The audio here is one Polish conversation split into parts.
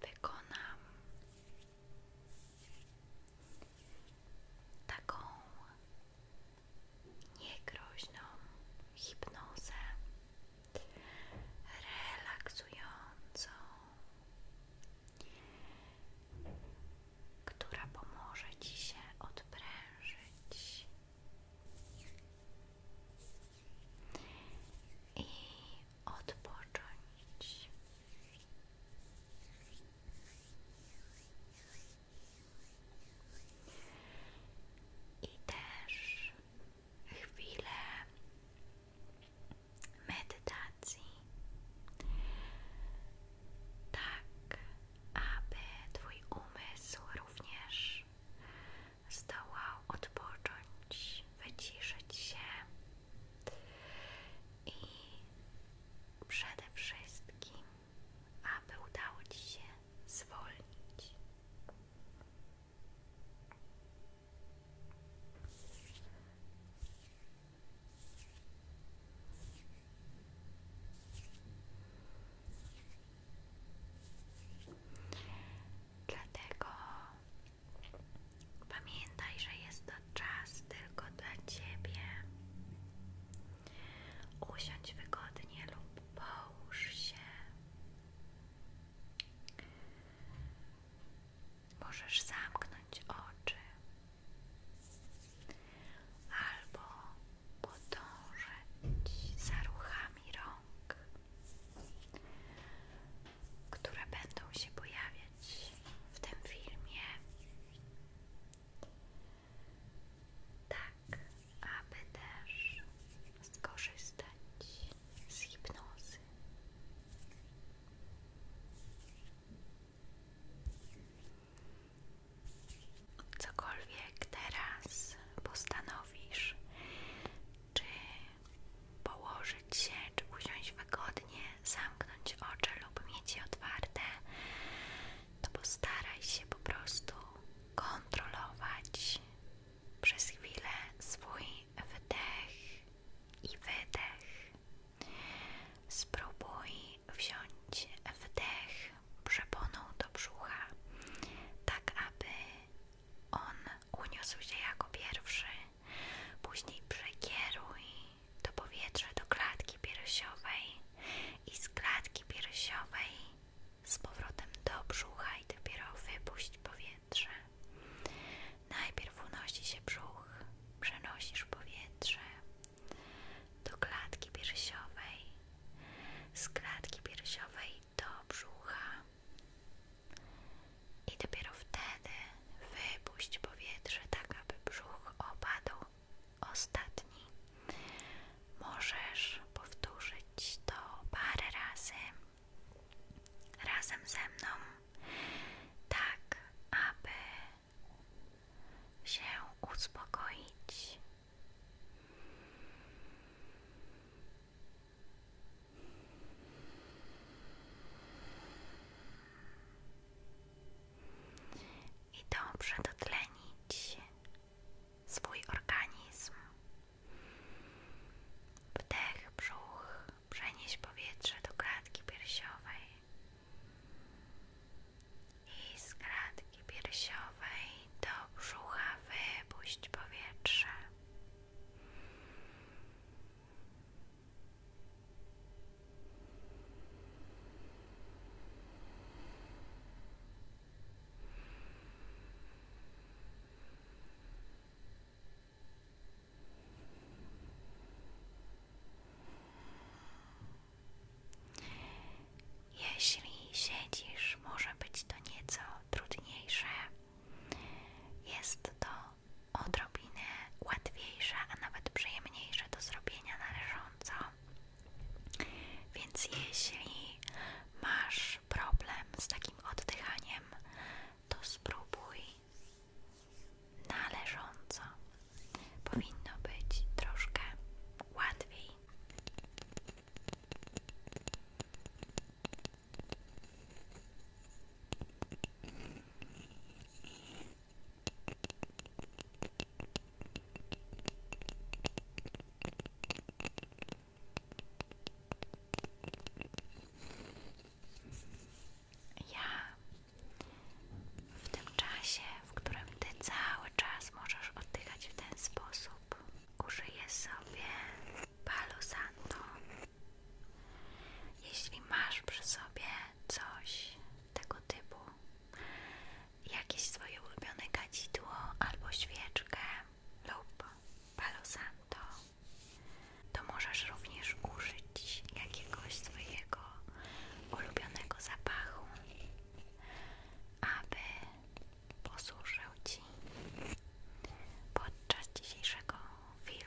Wykonam taką niegroźną hipnozę, relaksującą, która pomoże Ci się odprężyć i odpocząć. I też chwile medytacji, tak aby Twój umysł również zdołał odpocząć, wyciszyć się i przede wszystkim, aby udało Ci się zwolnić. Dlatego pamiętaj, że jest to czas tylko dla ciebie. Usiądź wygodnie lub połóż się. Możesz zamknąć oczy albo podążać za ruchami rąk, które będą się pojawiać w tym filmie. Tak, aby też skorzystać z hipnozy cokolwiek teraz postanowisz, czy położyć się, czy usiąść wygodnie, zamknąć oczy lub mieć je otwarte, to postaraj się po prostu kontrolować przez chwilę swój wdech i wydech. Spróbuj wziąć wdech przeponą do brzucha, tak aby on uniósł się jako pierwszy. Później przekieruj to powietrze do klatki piersiowej i z klatki piersiowej z powrotem do brzucha i dopiero wypuść powietrze. Najpierw unosi się brzuch, przenosisz powietrze, do klatki piersiowej, z klatki piersiowej do brzucha. I dopiero wtedy wypuść powietrze, tak aby brzuch opadł ostatni. Możesz powtórzyć to parę razy razem ze mną, tak aby się uspokoić i dobrze dotlenić swój organizm. Wdech, brzuch, przenieś powietrze do klatki piersiowej i z klatki piersiowej do brzucha wypuść powietrze. Jeśli siedzisz, może być to nieco trudniejsze. Jest to odrobinę łatwiejsze, a nawet przyjemniejsze do zrobienia należąco. Więc jeśli masz problem z takim oddychaniem, to spróbuj należąco. Powinno być troszkę łatwiej. Ja w tym czasie w którym Ty cały czas możesz oddychać w ten sposób. Użyję sobie Palo Santo. Jeśli masz przy sobie coś tego typu, jakieś swoje ulubione kadzidło albo świeczkę lub Palo Santo, to możesz również użyć jakiegoś swojego ulubionego zapachu aby posłużył Ci podczas dzisiejszego filmu.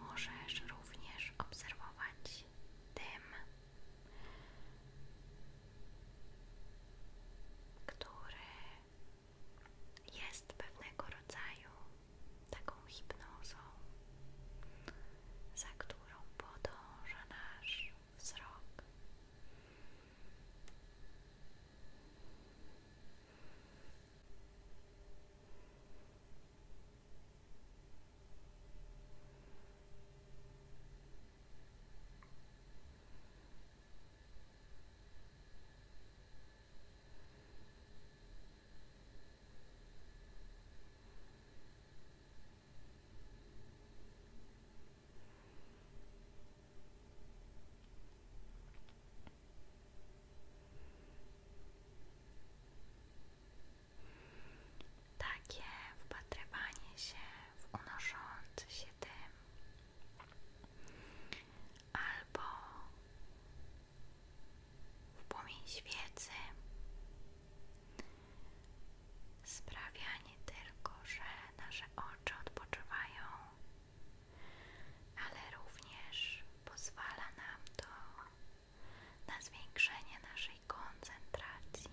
Możesz również obserwować dym, który jest pewnego rodzaju taką hipnozą, za którą podąża nasz wzrok. Takie wpatrywanie się w unoszący się tym, albo w płomień świecy sprawia nie tylko, że nasze oczy odpoczywają, ale również pozwala nam to na zwiększenie naszej koncentracji.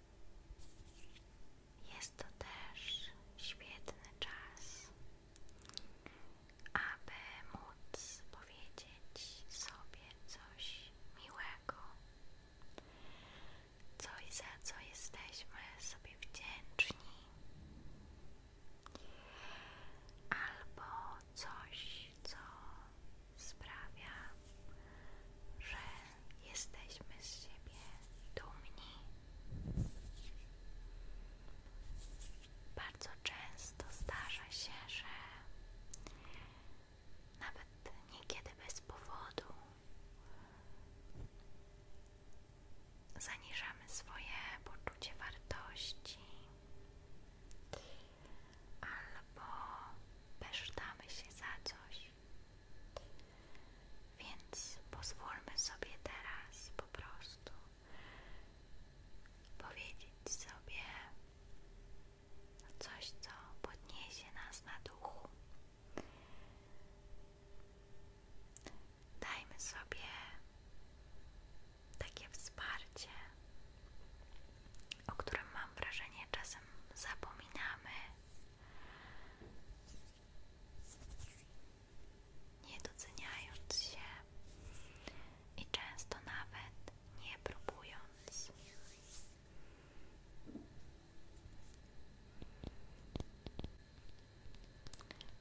Jest to też świetny czas, aby móc powiedzieć sobie coś miłego, coś za co jesteśmy sobie wdzięczni, albo coś, co sprawia, że jesteśmy z siebie dumni. Bardzo często zdarza się, że nawet niekiedy bez powodu zaniżamy swoje poczucie wartości albo besztamy się za coś. Więc pozwólmy sobie teraz po prostu powiedzieć sobie coś, co podniesie nas na duchu. Dajmy sobie takie wsparcie o którym mam wrażenie czasem zapominamy. Nie doceniając się i często nawet nie próbując.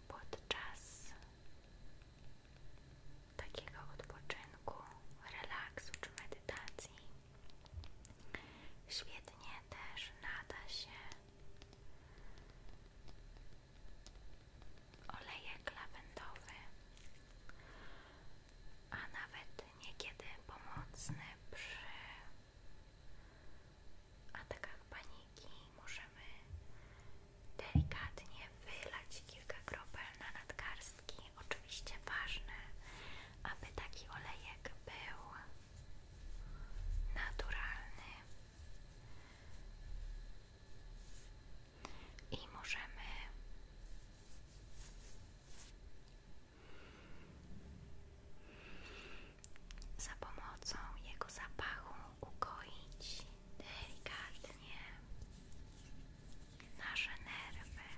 Podczas takiego odpoczynku, relaksu czy medytacji Świetnie też nada się olejek lawendowy, a nawet niekiedy pomocny przy atakach paniki. Możemy delikatnie wylać kilka kropel na nadgarstki oczywiście ważne, aby taki olejek był naturalny i możemy za pomocą jego zapachu ukoić delikatnie nasze nerwy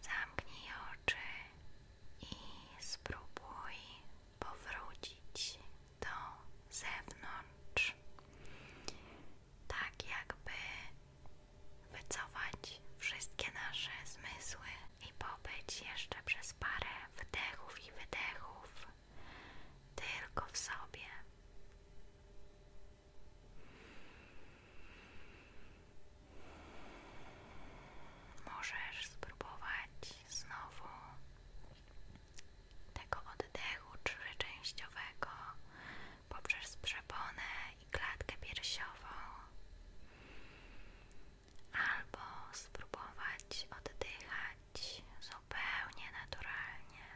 Zamknij oczy i spróbuj powrócić do zewnątrz, tak jakby wycofać wszystkie nasze zmysły i pobyć jeszcze przez parę wdechów i wydechów tylko w sobie. Możesz spróbować znowu tego oddechu trzyczęściowego poprzez przeponę i klatkę piersiową albo spróbować oddychać zupełnie naturalnie.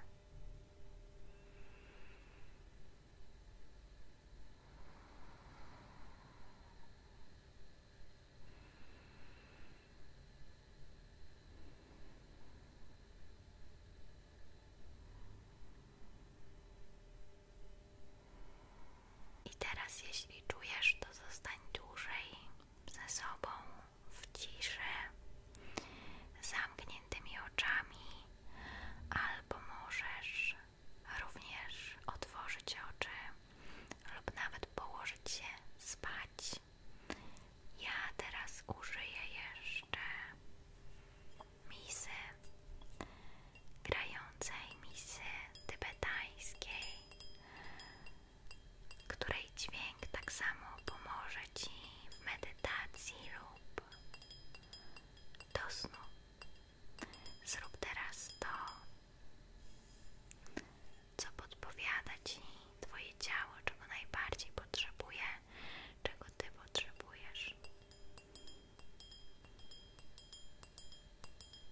I teraz, jeśli czujesz, to zostań dłużej ze sobą w ciszy, zamkniętymi oczami, albo możesz również otworzyć oczy lub nawet położyć się spać. Ja teraz użyję jeszcze misy, grającej misy tybetańskiej, której dźwięk tak samo pomoże Ci w medytacji lub do snu. Zrób teraz to, co podpowiada Ci Twoje ciało, czego najbardziej potrzebuje, czego Ty potrzebujesz.